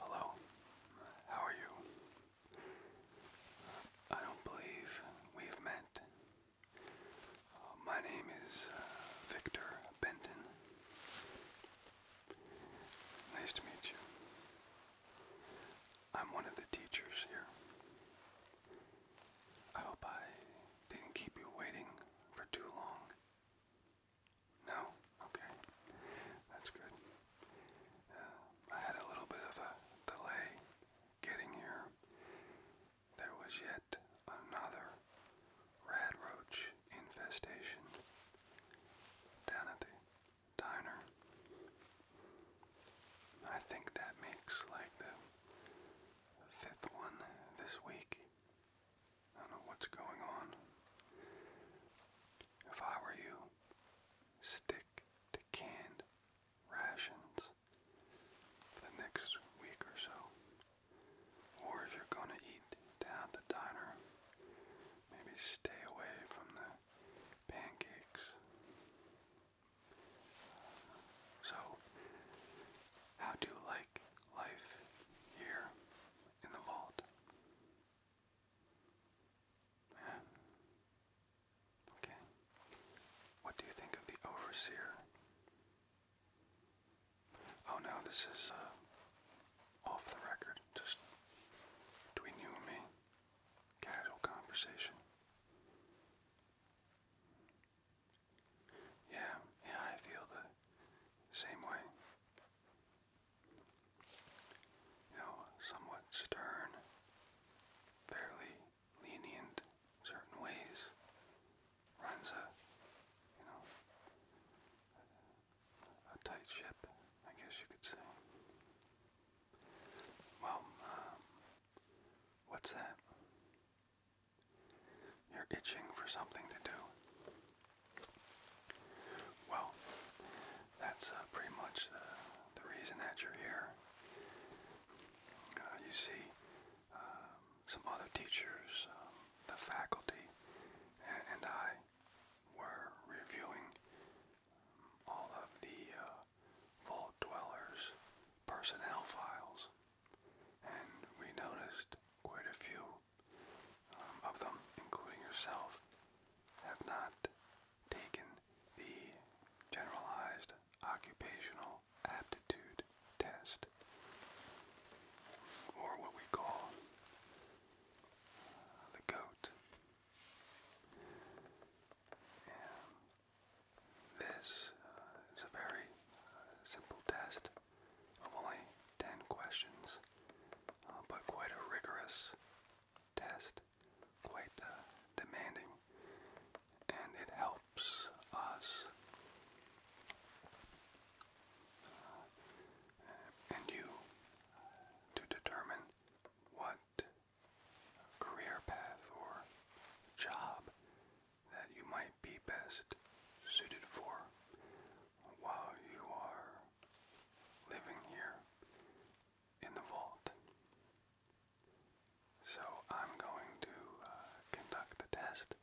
Hello, how are you? I don't believe we've met. Uh, my name is uh, Victor Benton. Nice to meet you. I'm one of the teachers here. I hope I didn't keep you waiting for too long. No? Okay. That's good. Uh, I had a little bit of a delay getting here. There was yet another rad roach infestation down at the diner. I think that makes like the fifth one this week. I don't know what's going on. If I were you, stick to canned rations for the next week or so. Or if you're gonna eat down the diner, maybe stay away from the pancakes. So, how do you like life here in the vault? Okay. What do you think of the overseer? Oh no, this is uh, off the record, just between you and me. Casual conversation. Yeah, yeah, I feel the same way. You know, somewhat stern, fairly lenient certain ways, runs a, you know, a tight ship, I guess you could say. Well, um, What's that? You're itching for something to do. Well, that's uh, pretty much the, the reason that you're here. Uh, you see um, some other teachers, um, the faculty, and, I were reviewing all of the uh, Vault Dwellers personnel files, and we noticed quite a few um, of them, including yourself, have not taken the generalized occupational aptitude test, or what we call uh, the GOAT. This uh, is a very uh, simple test of only 10 questions, uh, but quite a rigorous test, quite demanding, and it helps us and you to determine what career path or job that you might be best suited for while you are living here in the vault. So I'm going to uh, conduct the test.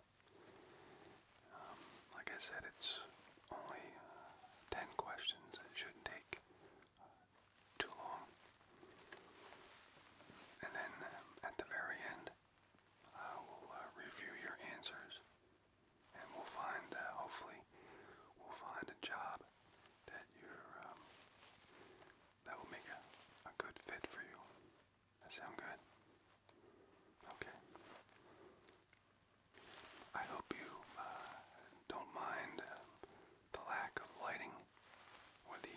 Um, like I said, it's only uh, 10 questions. It shouldn't take too long. And then um, at the very end, uh, will review your answers, and we'll find, uh, hopefully, we'll find a job that you um, that will make a, a good fit for you. sound good? Okay. I hope you uh, don't mind um, the lack of lighting with the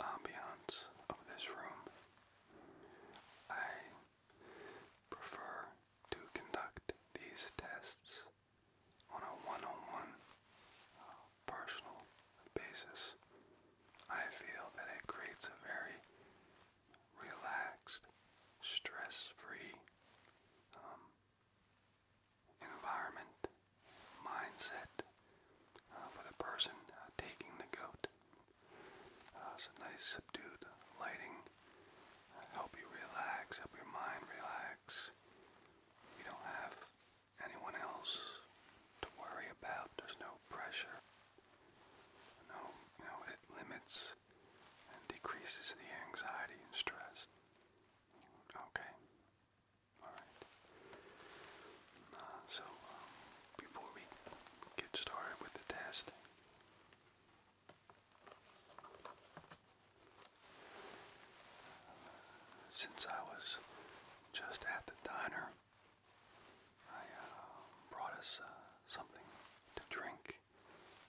ambiance of this room, I prefer to conduct these tests on a one on one personal basis. I feel that it creates a very relaxed, stress free um, environment, mindset uh, for the person uh, taking the goat. Uh, nice subdued lighting. Uh, help you relax, help your mind relax. You don't have anyone else to worry about. There's no pressure. No, you it limits and decreases the anxiety and stress. Okay. Alright. Uh, so, um, before we get started with the test, uh, since I was just at the diner, I uh, brought us something to drink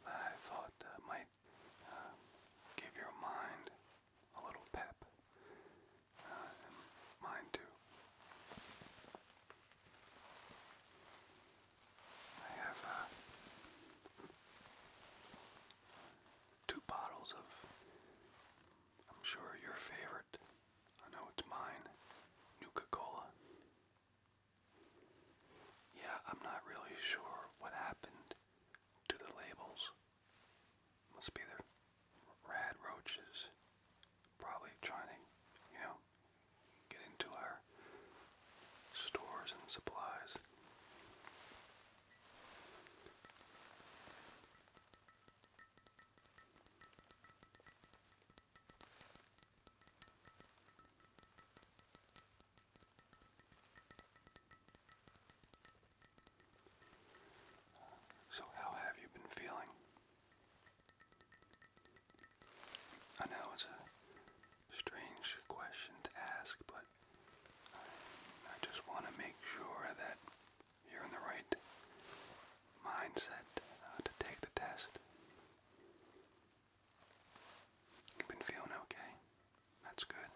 that I thought might give your mind a little pep mine too. I have uh, two bottles of, I'm sure your favorite, I know it's mine, Nuka-Cola. Yeah, I'm not really sure what happened to the labels. Must be the rad roaches. Probably trying to, you know, get into our stores and supplies. So, how have you been feeling? I know it's a strange question to ask, but I, just want to make sure that you're in the right mindset uh, to take the test. You've been feeling okay? That's good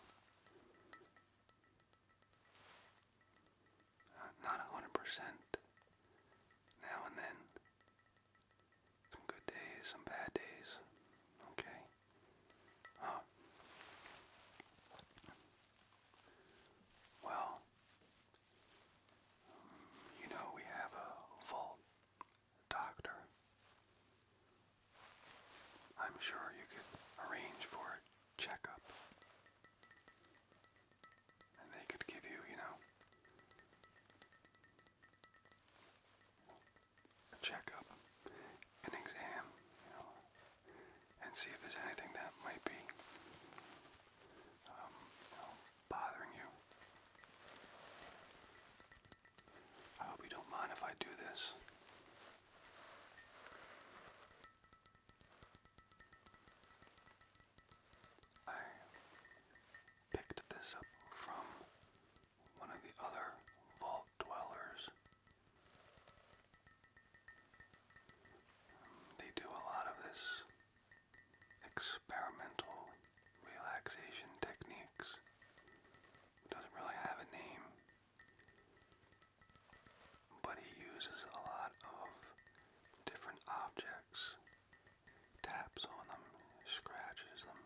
not a hundred percent. Now and then. Some good days, some bad days. Okay. Well, you know we have a full doctor. I'm sure you could arrange for it checkup. And they could give you, you know, a checkup, an exam, you know, and see if there's anything that might be um, bothering you. I hope you don't mind if I do this. I picked this up from one of the other vault dwellers. They do a lot of this experimental relaxation techniques. Doesn't really have a name but he uses a lot of different objects, taps on them, scratches them,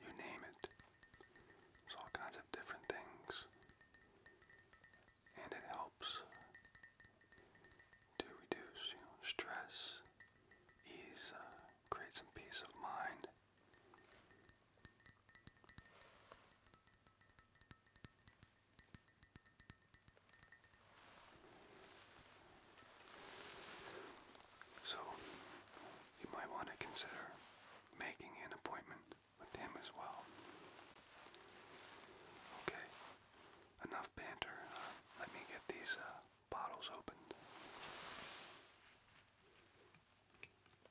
you name it. There's all kinds of different things, and it helps to reduce stress, ease, uh, create some peace of mind. So, you might want to consider making an appointment with him as well. Okay, enough banter. Uh, let me get these uh, bottles opened.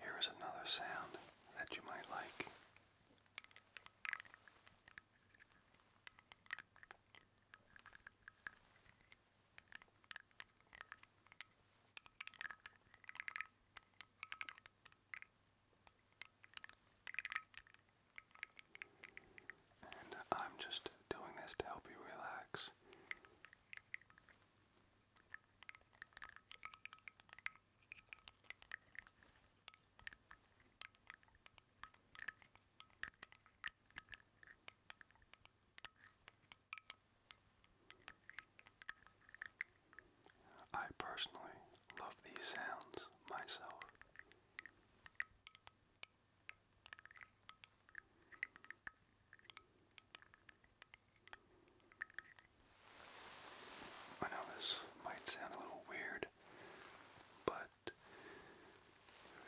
Here is another sound that you might like. I'm just doing this to help you relax. I personally love these sounds myself. I know this might sound a little weird, but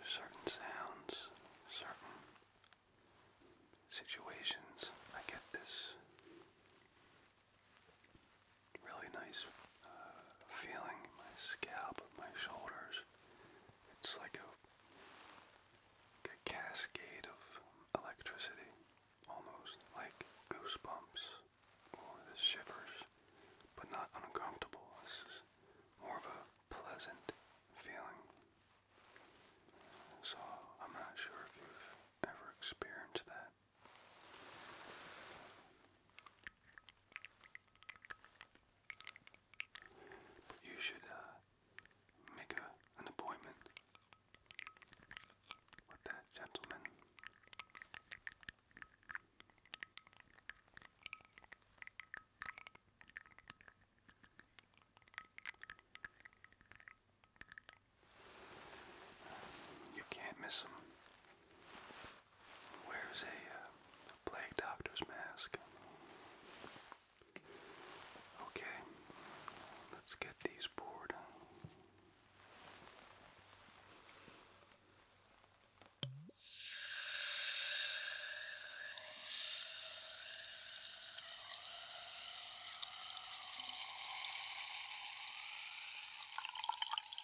certain sounds, certain situations, I get this really nice uh, feeling my scalp, my shoulders. It's like a, like a cascade of electricity, almost like goosebumps or the shivers, but not uncomfortable. This is more of a pleasant feeling. So I'm not sure if you've ever experienced that you should uh, make a, an appointment with that gentleman. You can't miss him wears a uh, plague doctor's mask. Okay, let's get these poured.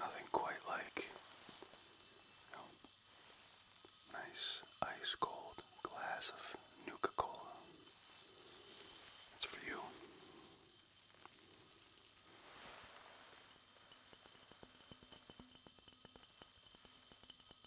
Nothing quite like you know, nice ice cold glass of Nuka Cola. That's for you.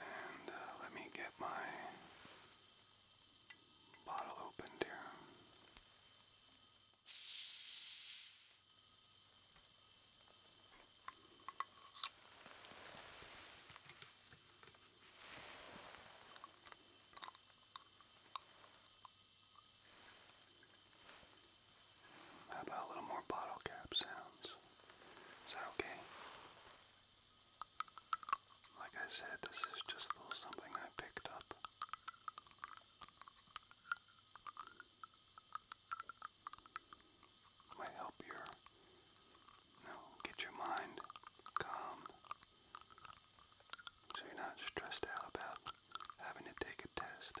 And uh, let me get my bottle opened here. How about a little more bottle cap sounds? Is that okay? Like I said, this is just something I picked up. Might help you know, get your mind calm, so you're not stressed out about having to take a test.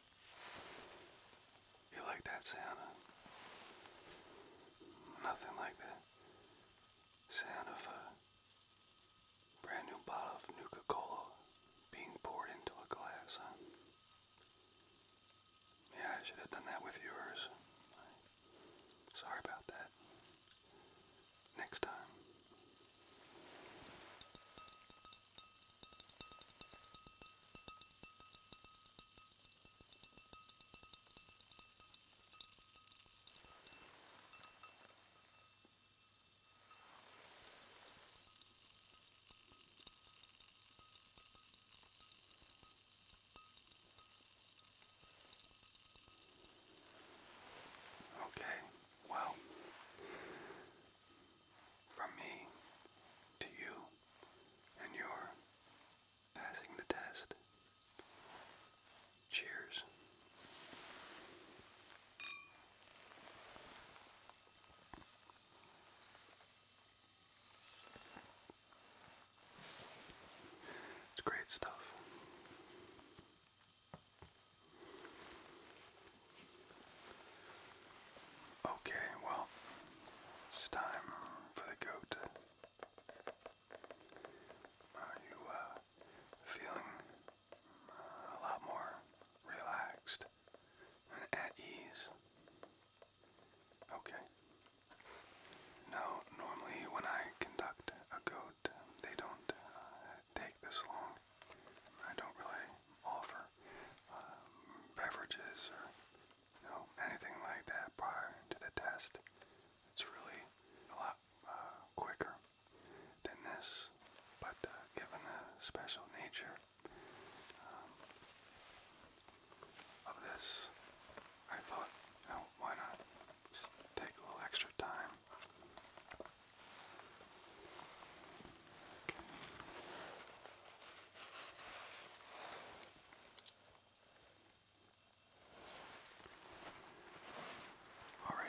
You like that sound? Nothing like the sound of a brand new bottle of Nuka Cola being poured into a glass, huh? Yeah, I should have done that with yours. Sorry about that. Next time. Okay, well, from me to you, and you're passing the test. Cheers. It's great stuff. Okay, well, it's time for the goat. Are you uh, feeling uh, a lot more relaxed and at ease? Okay. Now, normally when I conduct a goat, they don't uh, take this long I don't really offer um, beverages or anything like that prior to the test. It's really a lot uh, quicker than this, but uh, given the special nature um, of this, I thought, you know, why not take a little extra time all right.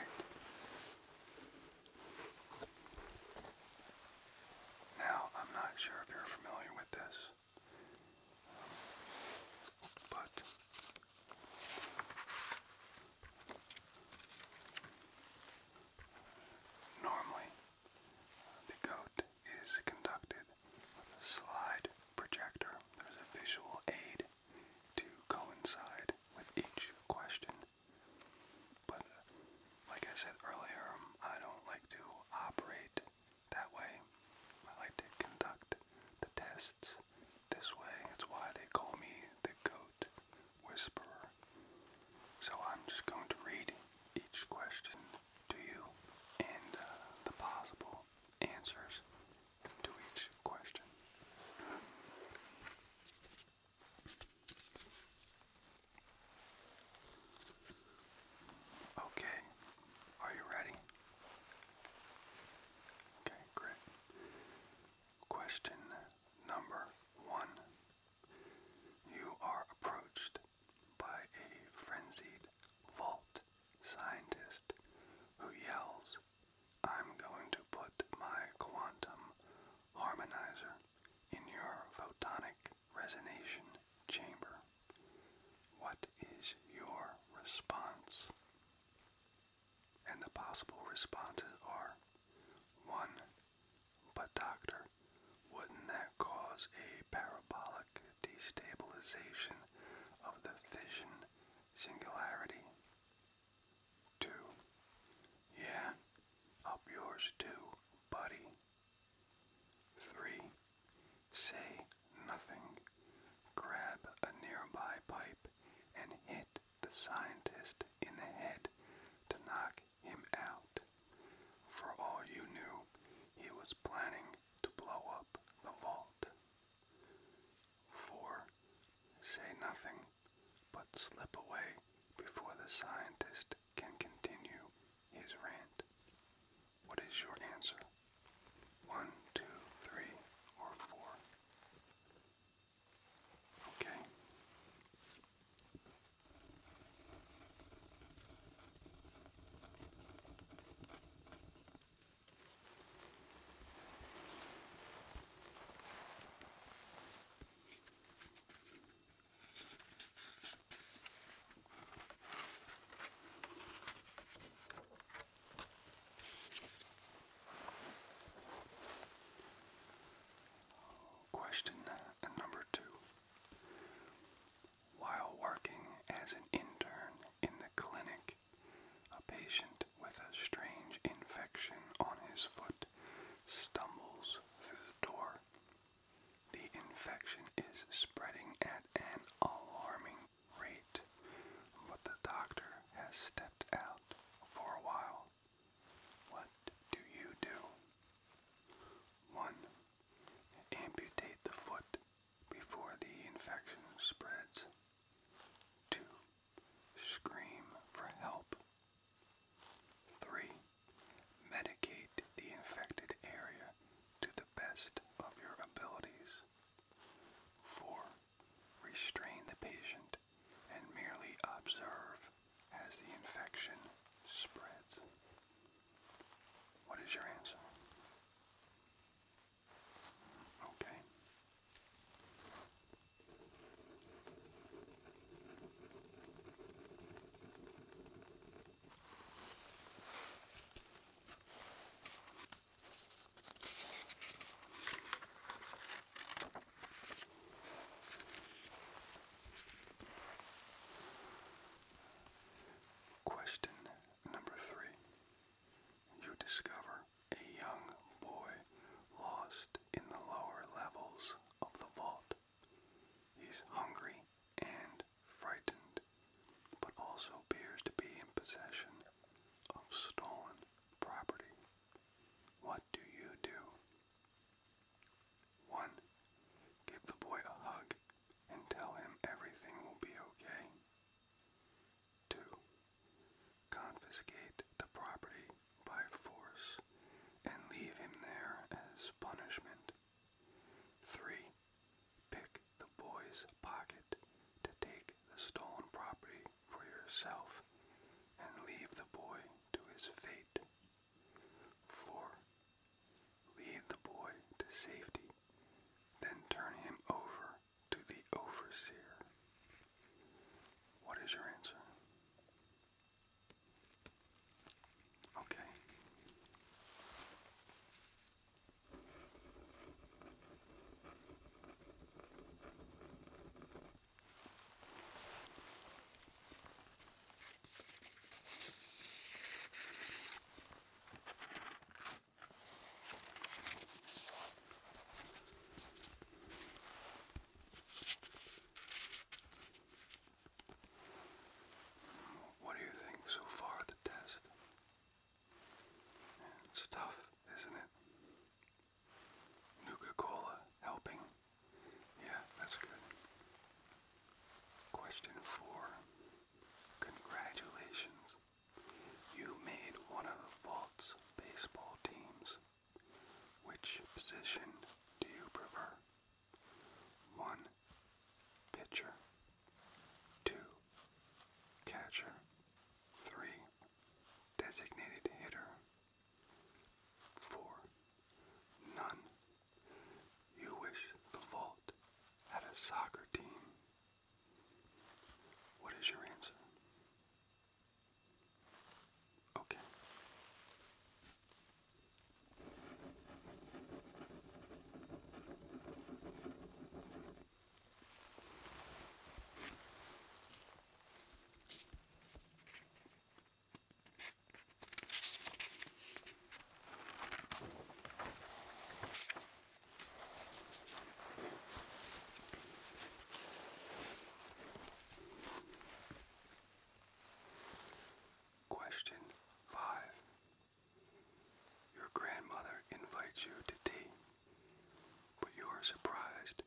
Now, I'm not sure if you're familiar with this, but Normally, the goat is conducted with a slide projector. There's a visual aid to coincide with each question. But, like I said earlier, um, I don't like to operate that way. I like to conduct the tests this way. That's why they call me the goat whisperer. So I'm just going to read each question to you and uh, the possible answers to each question. Okay, are you ready? Okay, great. Question number one you are approached by a frenzied vault scientist who yells, I'm going to put my quantum harmonizer in your photonic resonation chamber. What is your response? And the possible responses are 1. But, Doctor, wouldn't that cause a parabolic destabilization of the fission singularity? Two. Yeah, up yours too, buddy. Three. Say nothing. Grab a nearby pipe and hit the scientist in the head to knock him out. For all you knew, he was planning to blow up the vault. 4. Say nothing, but slip away before the scientist can continue his rant. What is your answer? One, two, three, or four? Okay. Question uh, number two while working as an intern in the clinic, a patient with a strange infection on his foot stumbles through the door. The infection is spreading at an alarming rate, but the doctor has stepped out for a while what do you do? 1. Amputate the foot before the infection spreads. 2. Scream for help. 3. Medicate the infected area to the best of your abilities. 4. Restrain the patient and merely observe as the infection spreads. What is your answer? Okay. Question number three. You discover a young boy lost in the lower levels of the vault. He's hungry and frightened, but also appears to be in possession of stolen property. What do you do? 1. Give the boy a hug and tell him everything will be okay. 2. Confiscate the property by force and leave him there as punishment. 3. Pick the boy's pocket to take the stolen property for yourself and leave the boy to his fate. 4. Lead the boy to safety, then turn him over to the overseer. What is your answer? Okay. What do you think so far of the test? It's tough, isn't it? Nuka Cola helping yeah, that's good. Question four. Congratulations. You made one of Vault's baseball teams. Which position do you prefer? 1. Pitcher. 2. Catcher. 3. Designated hitter. 4. None you wish the vault had a soccer team. What is your answer? Okay. Question 5. Your grandmother invites you to tea, but you are surprised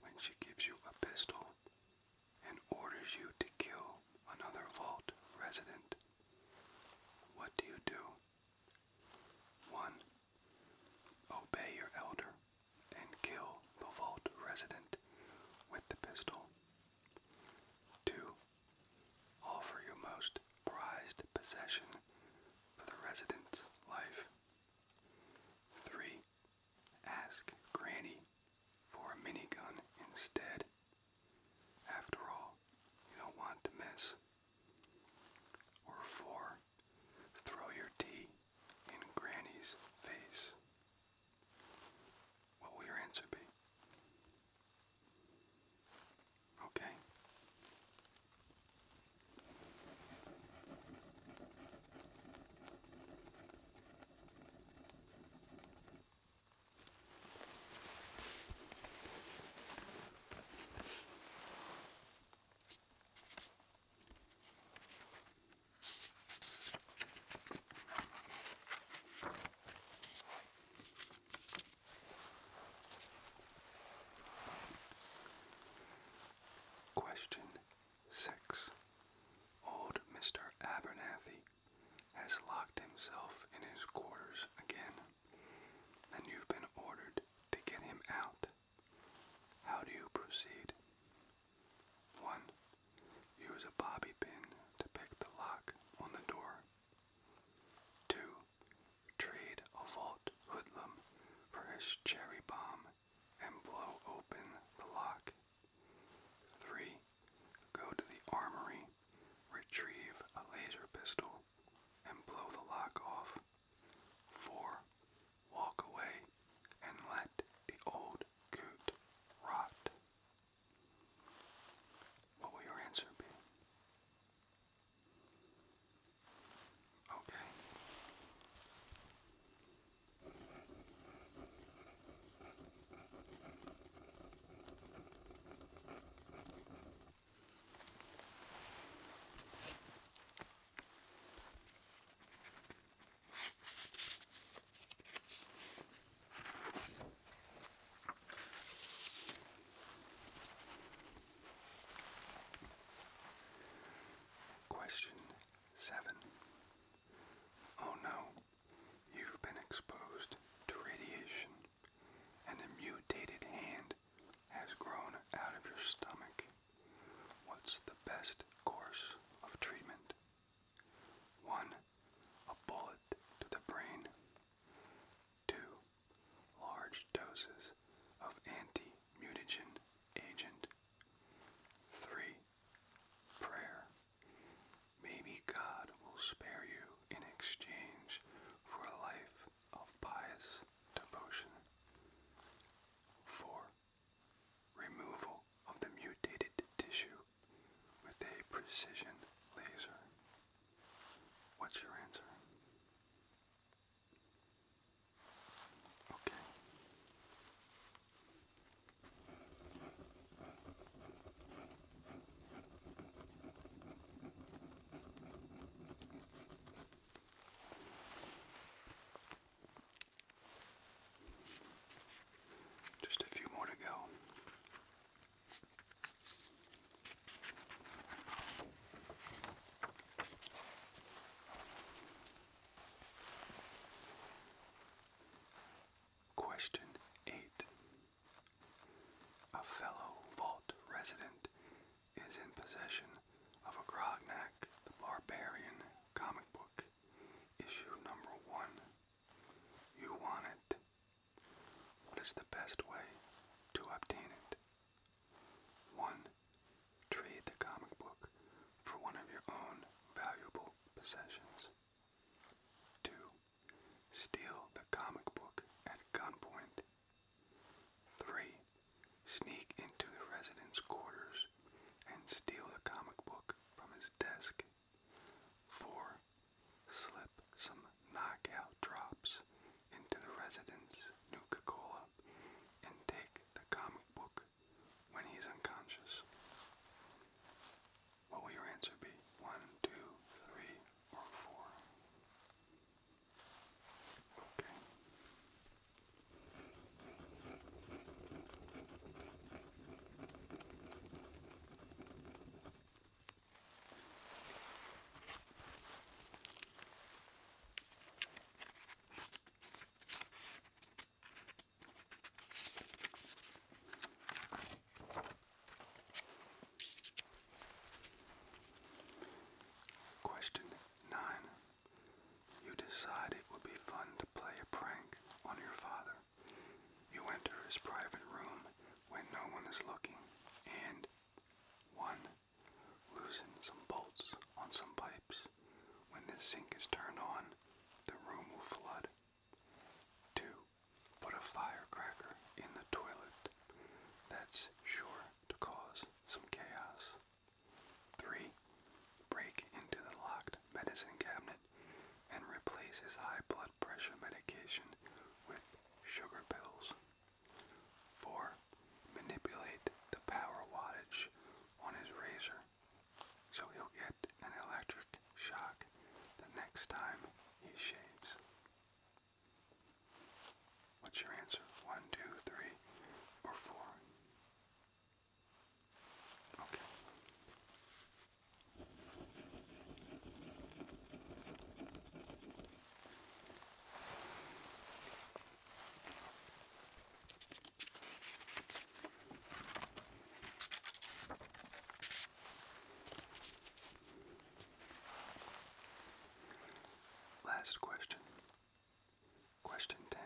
when she gives you a pistol and orders you to kill another vault resident, what do you do? 1. Obey your elder and kill the vault resident with the pistol. 2. Offer your most prized possession for the resident's life. 3. Ask Granny for a minigun instead. After all, you don't want to miss. Or four, throw your tea in Granny's face. What will your answer be? Okay. Question six. Old Mr. Abernathy has locked himself in his quarters again, and you've been ordered to get him out. How do you proceed? 1. Use a bobby pin to pick the lock on the door. 2. Trade a vault hoodlum for his cherry bomb and blow open the lock 3. Go to the armory, retrieve a laser pistol, and blow the lock off. 4. Walk away and let the old coot rot. What will your answer be? Okay. Question seven. Oh no, You've been exposed to radiation, and a mutated hand has grown out of your stomach. What's the best course of treatment? 1. A bullet to the brain. 2. Large doses of anti-mutagen agent. 3. Prayer. Maybe God will spare you in exchange for a life of pious devotion. 4. Removal of the mutated tissue with a precision laser. What's your answer? Okay. Just a few more to go. Question eight a fellow vault resident is in possession of a Grognak the Barbarian comic book, issue number one. You want it. What is the best way to obtain it? 1. Trade the comic book for one of your own valuable possessions. 2. Steal the comic book at gunpoint. 3. Sneak into the resident's quarters and steal the comic book from his desk. 4. Slip some knockout drops into the resident's Nuka Cola and take the comic book when he's unconscious. What will your answer be? One, two, three, or four? Okay. Question 9. You decide it would be fun to play a prank on your father. You enter his private room when no one is looking and 1. Loosen some bolts on some pipes. When the sink is turned on, the room will flood. Two, put a firecracker in the toilet. That's sure to cause some chaos. Three, break into the locked medicine cabinet and replace his high blood pressure medication with sugar pills. Four, manipulate the power wattage on his razor so he'll get an electric Shock the next time he shaves. What's your answer? One, two, three, or four? Okay. Last question. Question 10.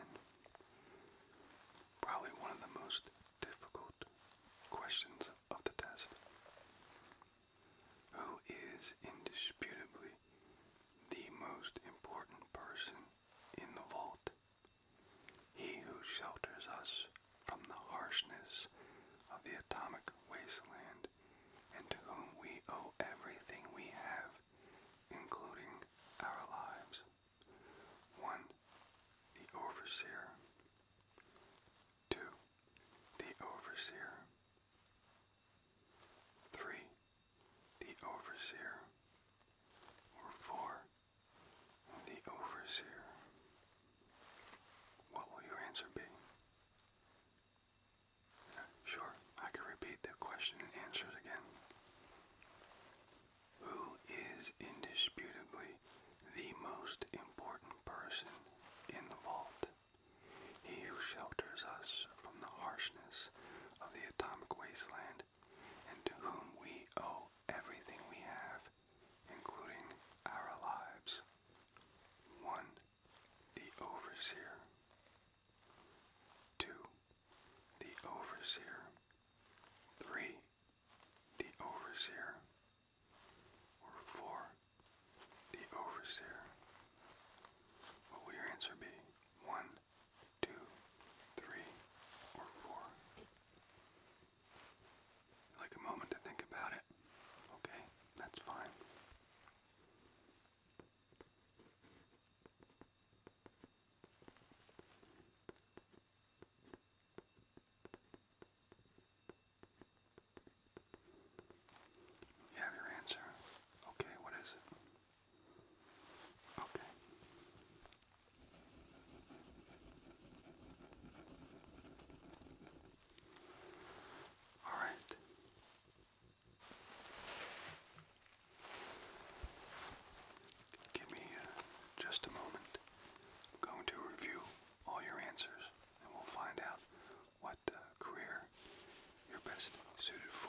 Probably one of the most difficult questions of the test. Who is indisputably the most important person in the vault? He who shelters us from the harshness of the atomic wasteland, and to whom we owe everything we have, including our lives. 1. The Overseer. 2. The Overseer. 3. The Overseer. Or 4. The Overseer. What will your answer be? sure, I can repeat the question and answers again. Who is indisputably the most important person in the vault? He who shelters us from the harshness of the atomic wasteland, and to whom we owe everything we have including our lives. 1. The Overseer. 2. The Overseer. 3. The Overseer. Or 4. The Overseer. What will your answer be? 1, or 4? Like a moment to think about it. Okay, that's fine. You have your answer. Okay, what is it? Okay. All right. Give me uh, just a moment. I'm going to review all your answers and we'll find out what uh, career you best suited for.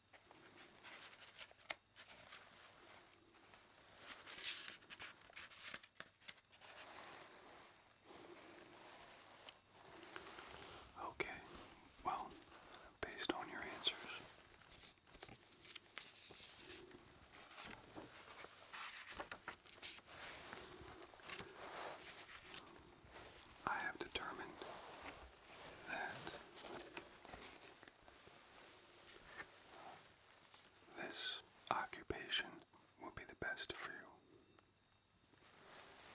Okay, well, based on your answers, I have determined that this occupation will be the best for you.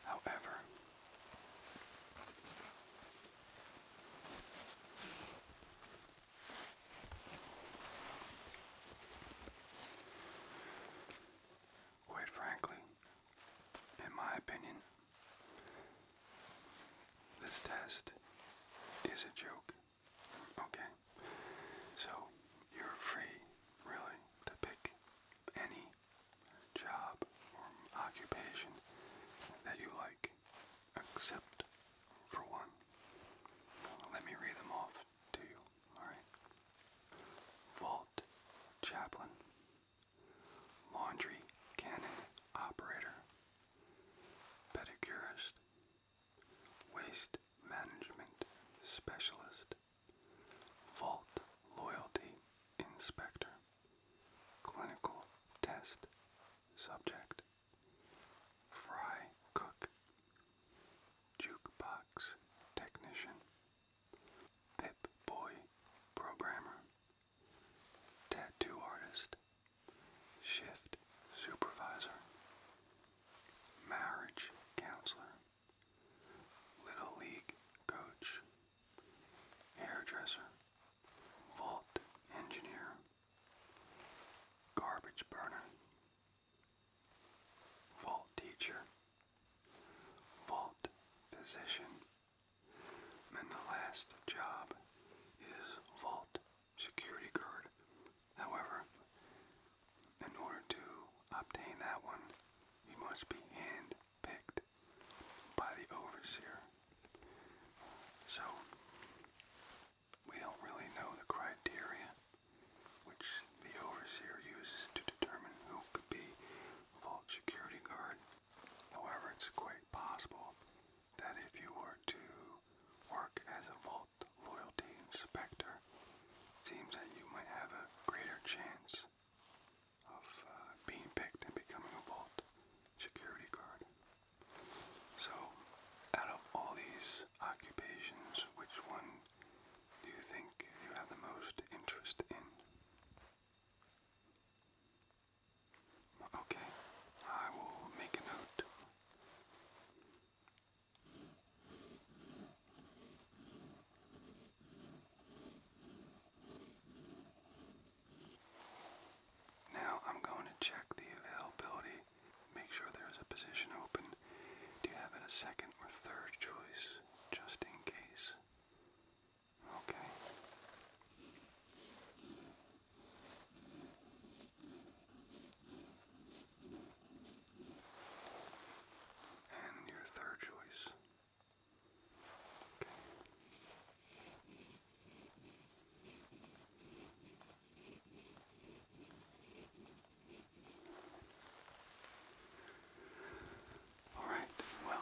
However, Quite frankly, in my opinion, this test is a joke. Okay? So, you're free, really, to pick any job or occupation that you like, except for one. Let me read them off to you, alright? Vault chaplain, laundry cannon operator, pedicurist, waste management specialist, vault loyalty inspector, clinical test subject, fry cook, jukebox technician, pip boy programmer tattoo artist, shift supervisor, marriage counselor, little league coach, hairdresser, vault engineer, garbage burner, vault teacher, vault physician, and the last job is vault security guard. However, in order to obtain that one, you must be hand by the overseer. So, we don't really know the criteria which the overseer uses to determine who could be vault security guard. However, it's quite possible that if you were to work as a Vault Loyalty Inspector, seems that you might have a greater chance of uh, being picked and becoming a Vault Security Guard. So, out of all these occupations, which one do you think you have the most interest in? Okay, I will make a note. Now I'm going to check the availability, make sure there's a position open. Do you have a second or third choice, just in case? Okay. And your third choice. Okay. All right, well.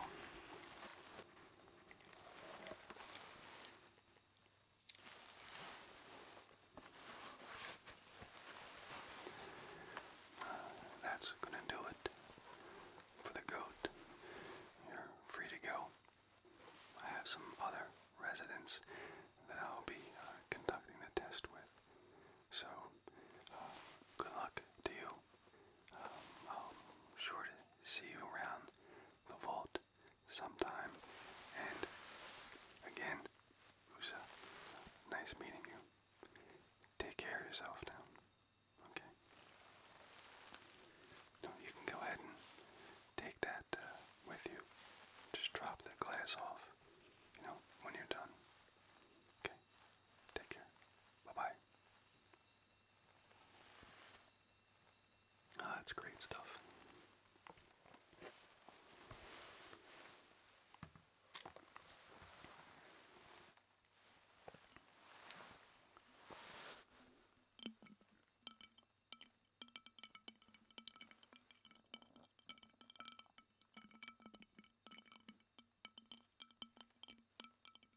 that's going to do it for the goat. You're free to go. I have some other residents that I'll be uh, conducting the test with. So, uh, good luck to you. I'm um, um, sure to see you around the vault sometime. And again, it nice meeting you. Take care of yourself now. Okay. you can go ahead and take that uh, with you. Just drop the glass off, you know, when you're done. Okay. Take care. Bye bye that's ah, great stuff.